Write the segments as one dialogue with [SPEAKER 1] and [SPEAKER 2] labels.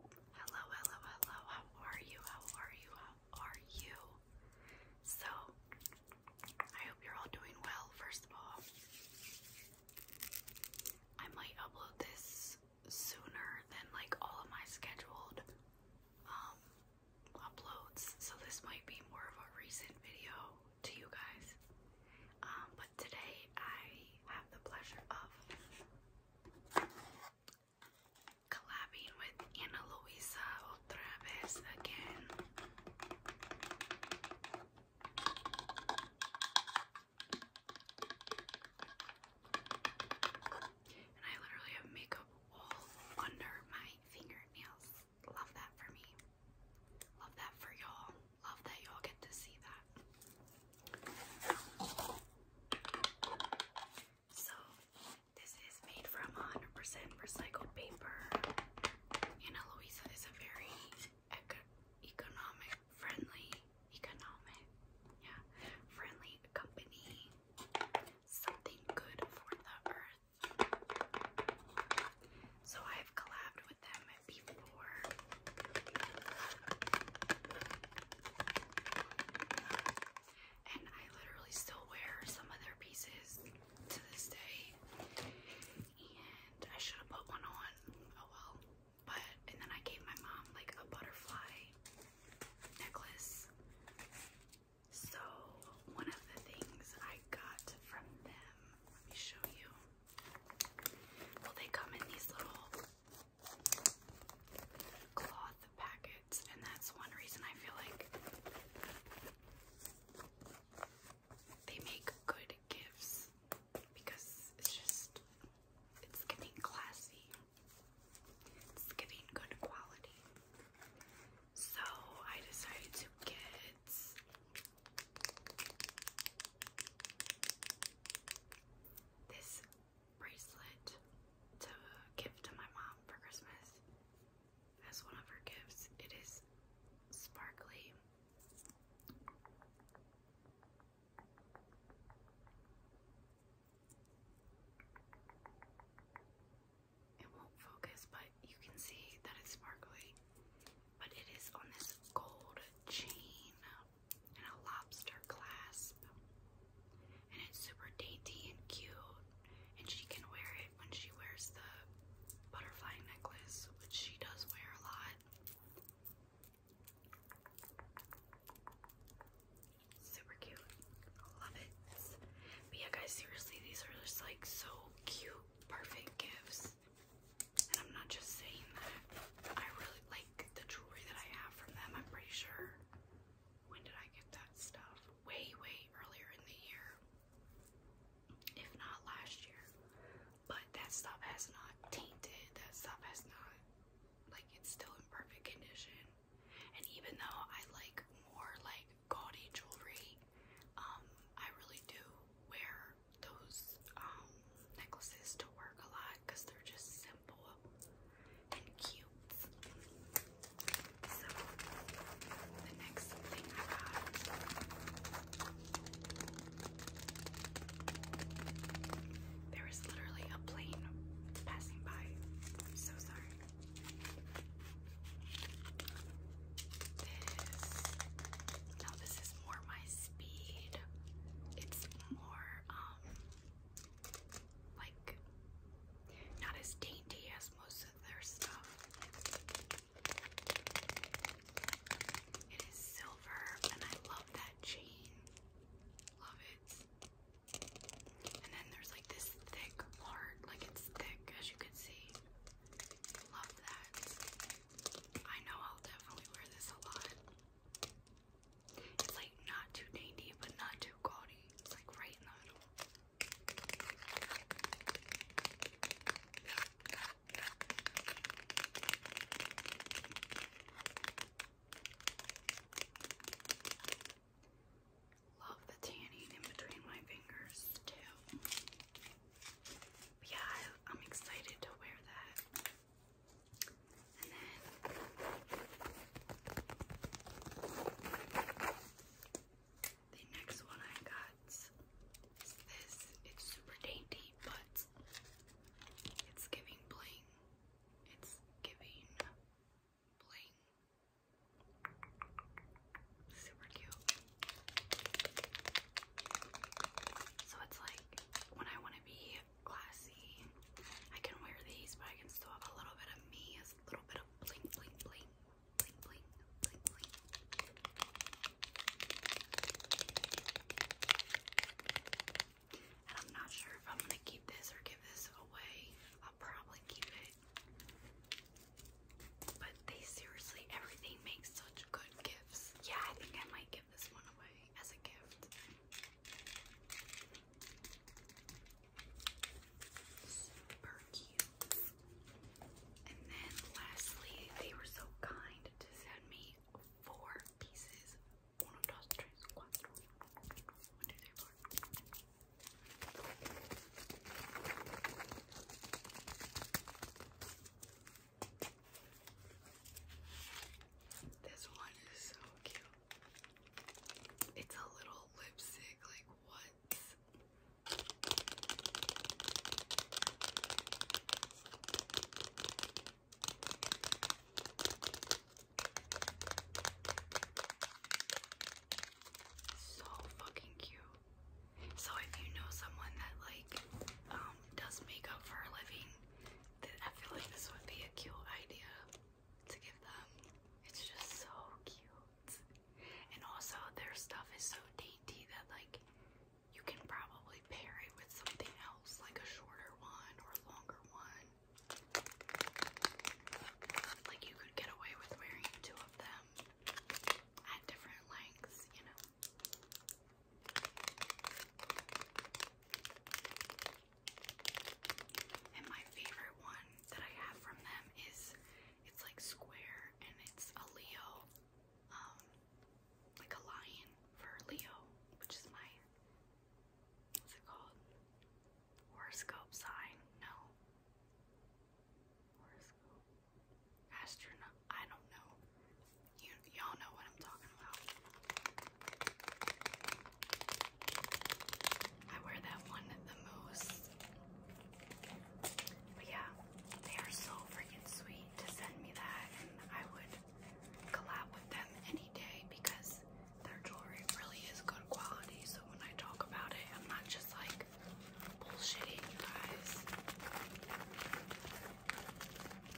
[SPEAKER 1] Hello, hello, hello. How are you? How are you? How are you? So, I hope you're all doing well, first of all. I might upload this sooner than like all of my scheduled um, uploads, so this might be more of a recent video to you guys. Um, but today I have the pleasure of collabing with Ana Luisa otra vez again. And I literally have makeup all under my fingernails. Love that for me. Love that for y'all. Love that y'all get to see that. So, this is made from 100% recycled paper, and Eloisa is a very economic friendly, economic, yeah, friendly company. Something good for the earth. So I've collabed with them before. And I literally still wear some of their pieces to this day. And I should have put one on. Oh well. But, and then I gave my mom like a butterfly necklace. So, one of the things I got from them, let me show you. Well, they come in these little cloth packets, and that's one reason I feel like they make good gifts because it's just it's getting classy. It's getting good quality. So I decided to get this bracelet to give to my mom for Christmas as one of her gifts. It is sparkly. It won't focus, but you can see that it's sparkly. But it is on this gold chain and a lobster clasp. And it's super dainty and cute. And she can wear it when she wears the butterfly necklace, which she does wear a lot. Super cute. love it. But yeah, guys, seriously, these are just like so cute, perfect gifts. And I'm not just saying that. I really like the jewelry that I have from them, I'm pretty sure. When did I get that stuff? Way, way earlier in the year. If not last year. But that stuff has not tainted. That stuff has not, like, it's still in perfect condition. And even though I like more, like, gaudy jewelry, um, I really do wear those um necklaces to work a lot because they're just simple and cute. So, the next thing I got there is literally a plane passing by. so sorry. This now this is more my speed. It's more um, like not as dainty as most of their stuff. It is silver and I love that chain. Love it. And then there's like this thick part, like it's thick as you can see. Love that. I know I'll definitely wear this a lot. It's like not too dainty, but not too gaudy. It's like right in the middle. Love the tanning in between my fingers too. yeah, I'm excited to wear that the next one I got is this. It's super dainty, but it's giving bling. It's giving bling. Super cute. So it's like when I want to be classy. I can wear these, but I can still have a little bit of me, a little bit of bling, bling, bling, bling, bling, bling, And I'm not sure if I'm gonna keep this or give this away. I'll probably keep it. But they seriously, everything makes such good gifts. Yeah, I think I might give this one away as a gift. Super cute. And then lastly, they were so kind to send me four pieces. This one is so cute. It's a little lipstick, like what? So fucking cute. So if you know someone that like um does makeup for a living I feel like this would be a cute idea to give them. It's just so cute. And also their stuff is so dainty that like you can probably pair it with something else, like a shorter one or a longer one. Like you could get away with wearing two of them at different lengths, you know. And my favorite one that I have from them is it's like square and it's a Leo, um, like a lion for Leo, which is my what's it called? Horoscope sign? No. Horoscope. Astronaut I don't know. You y'all know what I'm talking about. I wear that one the most. But yeah, they are so freaking sweet to send me that, I would collab with them any day because their jewelry really is good quality. So when I talk about it, I'm not just like bullshitting you guys.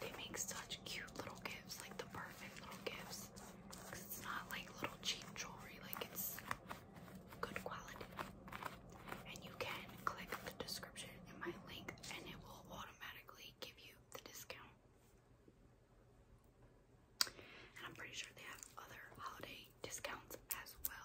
[SPEAKER 1] They make such cute little gifts, like the perfect little gifts. it's not like little cheap jewelry, like it's good quality. And you can click the description in my link and it will automatically give you the discount. And I'm pretty sure they have other holiday discounts as well.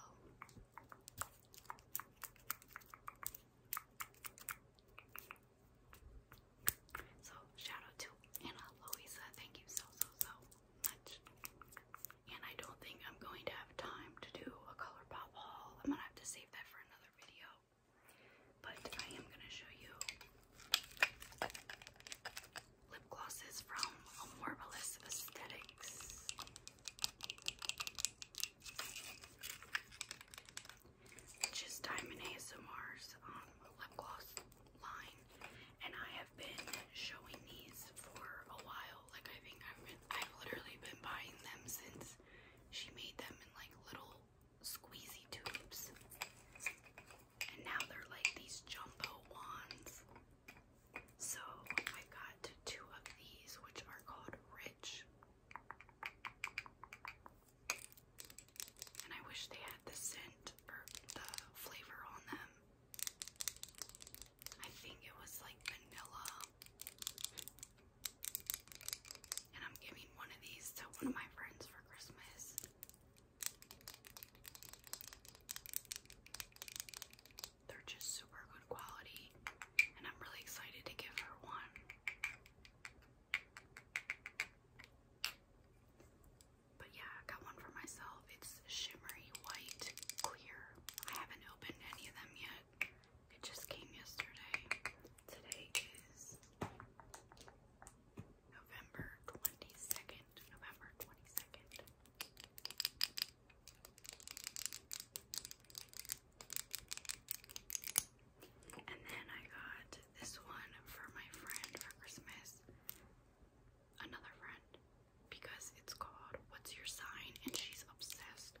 [SPEAKER 1] So shout out to Anna Louisa. Thank you so so so much. And I don't think I'm going to have time to do a color pop haul. I'm gonna have to save that for another video. But I am gonna show you lip glosses from Amorbilis Aesthetics just Diamond ASMR's lip gloss line, and I have been showing these for a while. Like I think I've literally been buying them since she made them in like little squeezy tubes, and now they're like these jumbo wands. So I got two of these, which are called Rich and I wish they had the scent or the flavor on them. I think it was like vanilla. And I'm giving one of these to one of my friends for Christmas. They're just super good quality, and I'm really excited to give her one. But yeah, got one for myself. It's shimmery white clear. I haven't opened any of them yet. It just came yesterday. Today is November 22nd. November 22nd. And then I got this one for my friend for Christmas. Another friend. Because it's called What's Your Sign? And she's obsessed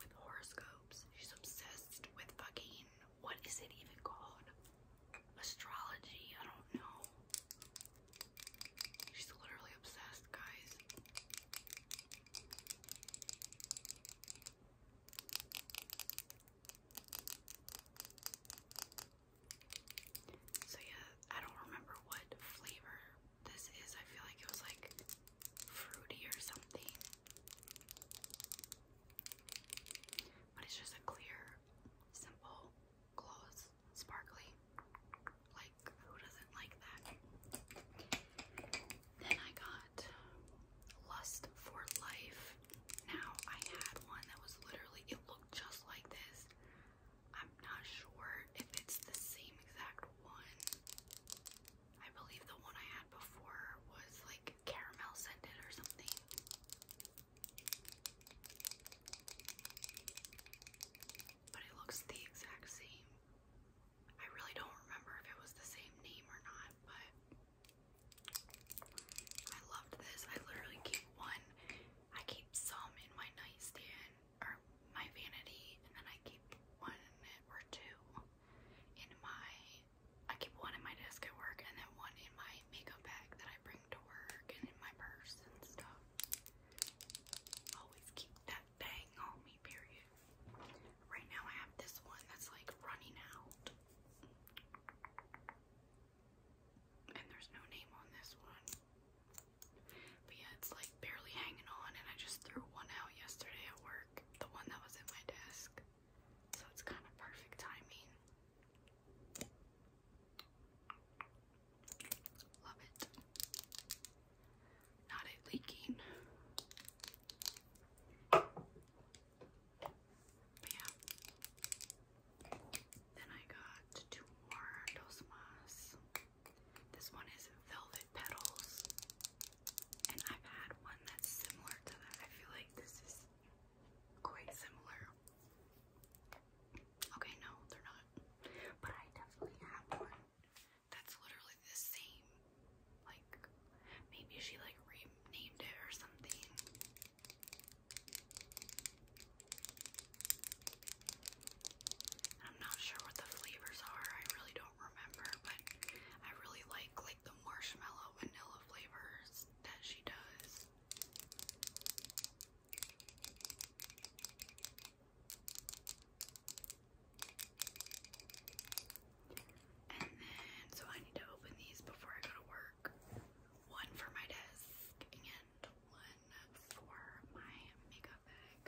[SPEAKER 1] with horoscopes. She's obsessed with fucking, what is it even called? Astrology. I don't know. She's literally obsessed, guys. So yeah, I don't remember what flavor this is. I feel like it was like fruity or something. But it's just a clear, simple, gloss, sparkly. Like, who doesn't like that? Then I got Lust for Life. Now I had one that was literally, it looked just like this. I'm not sure if it's the same exact one. I believe the one I had before was like caramel scented or something. But it looks the exact same. I really don't remember if it was the same name or not, but I loved this. I literally keep one. I keep some in my nightstand or my vanity, and then I keep one or two in my. I keep one in my desk at work, and then one in my makeup bag that I bring to work, and in my purse and stuff. Always keep that thing on Right now I have this one that's like running out. And there's no name on this one. But yeah, it's like barely hanging on and I just threw one out yesterday at work. The one that was at my desk. So it's kind of perfect timing. Love it not it leaking. But yeah. Then I got two more Dos This one is Velvet Petals. And I've had one that's similar to that. I feel like this is quite similar. Okay, no, they're not. But I definitely have one that's literally the same. Like, maybe she like renamed it or something. I'm not sure what the flavors are. I really don't remember, but I really like like the marshmallow vanilla flavors that she does. And then, so I need to open these before I go to work. One for my desk and one for my makeup bag.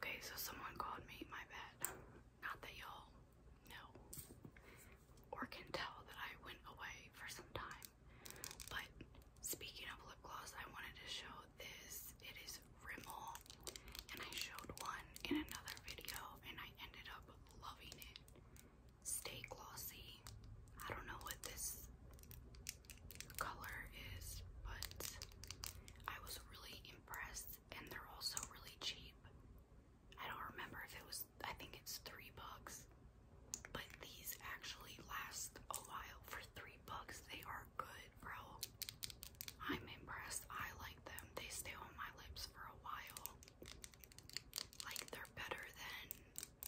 [SPEAKER 1] Okay, so someone called me my bed. Not that y'all know or can tell that I went away for some time, but Speaking of lip gloss, I wanted to show this. It is Rimmel, and I showed one in another video, and I ended up loving it. Stay glossy. I don't know what this color is, but I was really impressed, and they're also really cheap. I don't remember if it was, I think it's three bucks, but these actually last a while for 3 they are good, bro. I'm impressed. I like them. They stay on my lips for a while. Like they're better than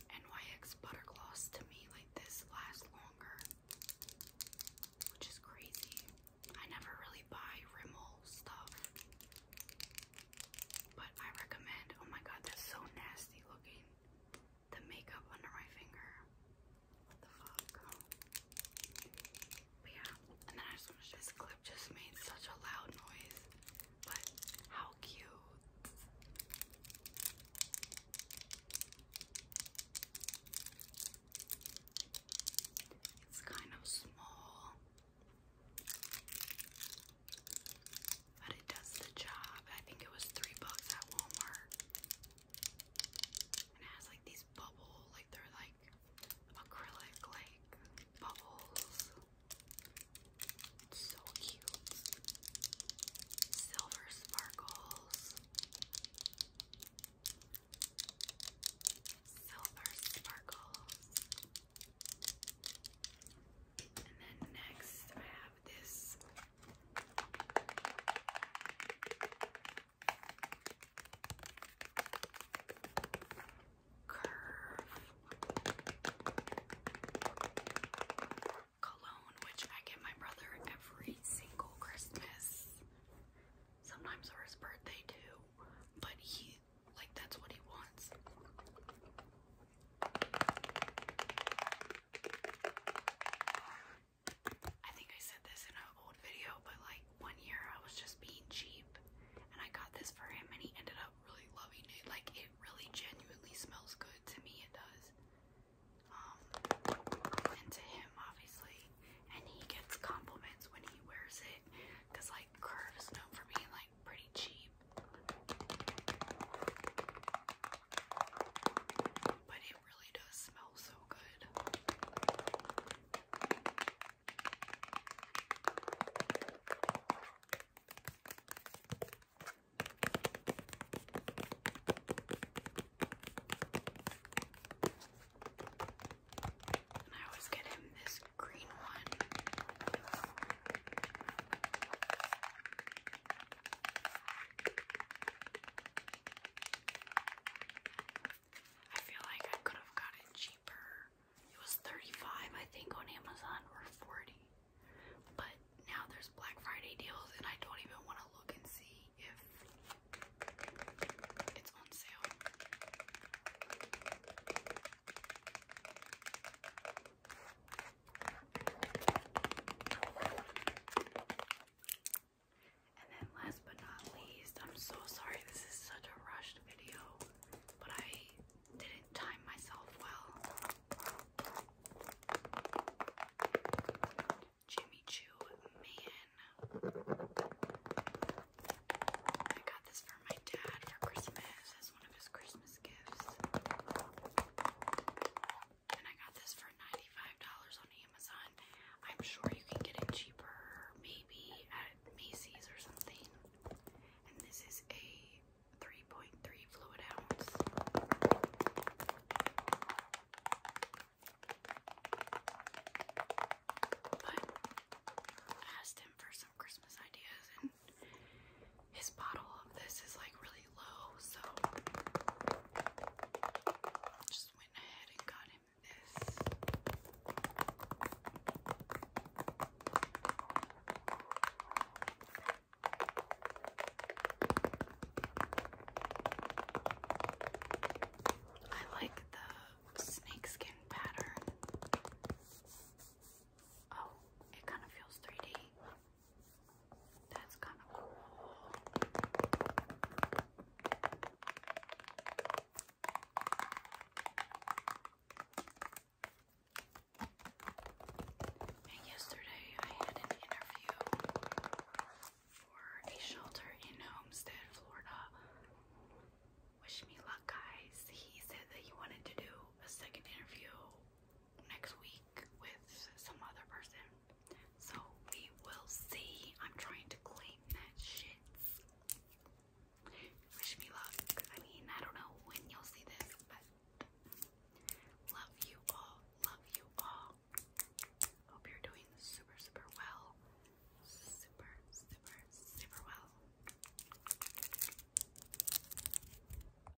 [SPEAKER 1] NYX butter gloss to me. Like this lasts longer, which is crazy. I never really buy Rimmel stuff, but I recommend. Oh my god, that's so nasty looking the makeup under my finger. What the fuck? But yeah, and then I just want this clip just made such a loud noise, but how cute. It's kind of small but it does the job. I think it was three bucks at Walmart. And it has like these bubble, like they're like acrylic like bubbles. so cute. Silver sparkles. Silver sparkles. And then next I have this cologne, which I get my brother every single Christmas. Sometimes for his birthday too, but he like that's what he wants. I think I said this in an old video, but like one year I was just being cheap and I got this for him and he ended up really loving it. Like it really genuinely smells good to me, it does. Um and him obviously. And he gets compliments when he wears it. Cause like Curve is for being like pretty cheap. But it really does smell so good. And I always get him this green one. I feel like I could have got it cheaper. It was 35 I think on Amazon or 40. But now there's Black Friday deals and I don't even want to look and see if it's on sale. And then last but not least, I'm so sorry this is such a rushed video, but I didn't time myself well. Jimmy Choo Man. I got this for my dad for Christmas as one of his Christmas gifts and I got this for $95 on Amazon. I'm sure you can get it cheaper, maybe at Macy's or something. And this is a 3.3 fluid ounce. asked him for some Christmas ideas and his bottle of this is like really low, so just went ahead and got him this. I like the snakeskin pattern. Oh, it kind of feels 3D. That's kind of cool. And yesterday I had an interview for a shelter in Homestead, Florida. Wish me luck, guys. He said that he wanted to do a second interview next week with some other person. So we will see. I'm trying to claim that shit. Wish me luck. I mean, I don't know when you'll see this, but love you all. Love you all. Hope you're doing super, super well. Super, super, super well.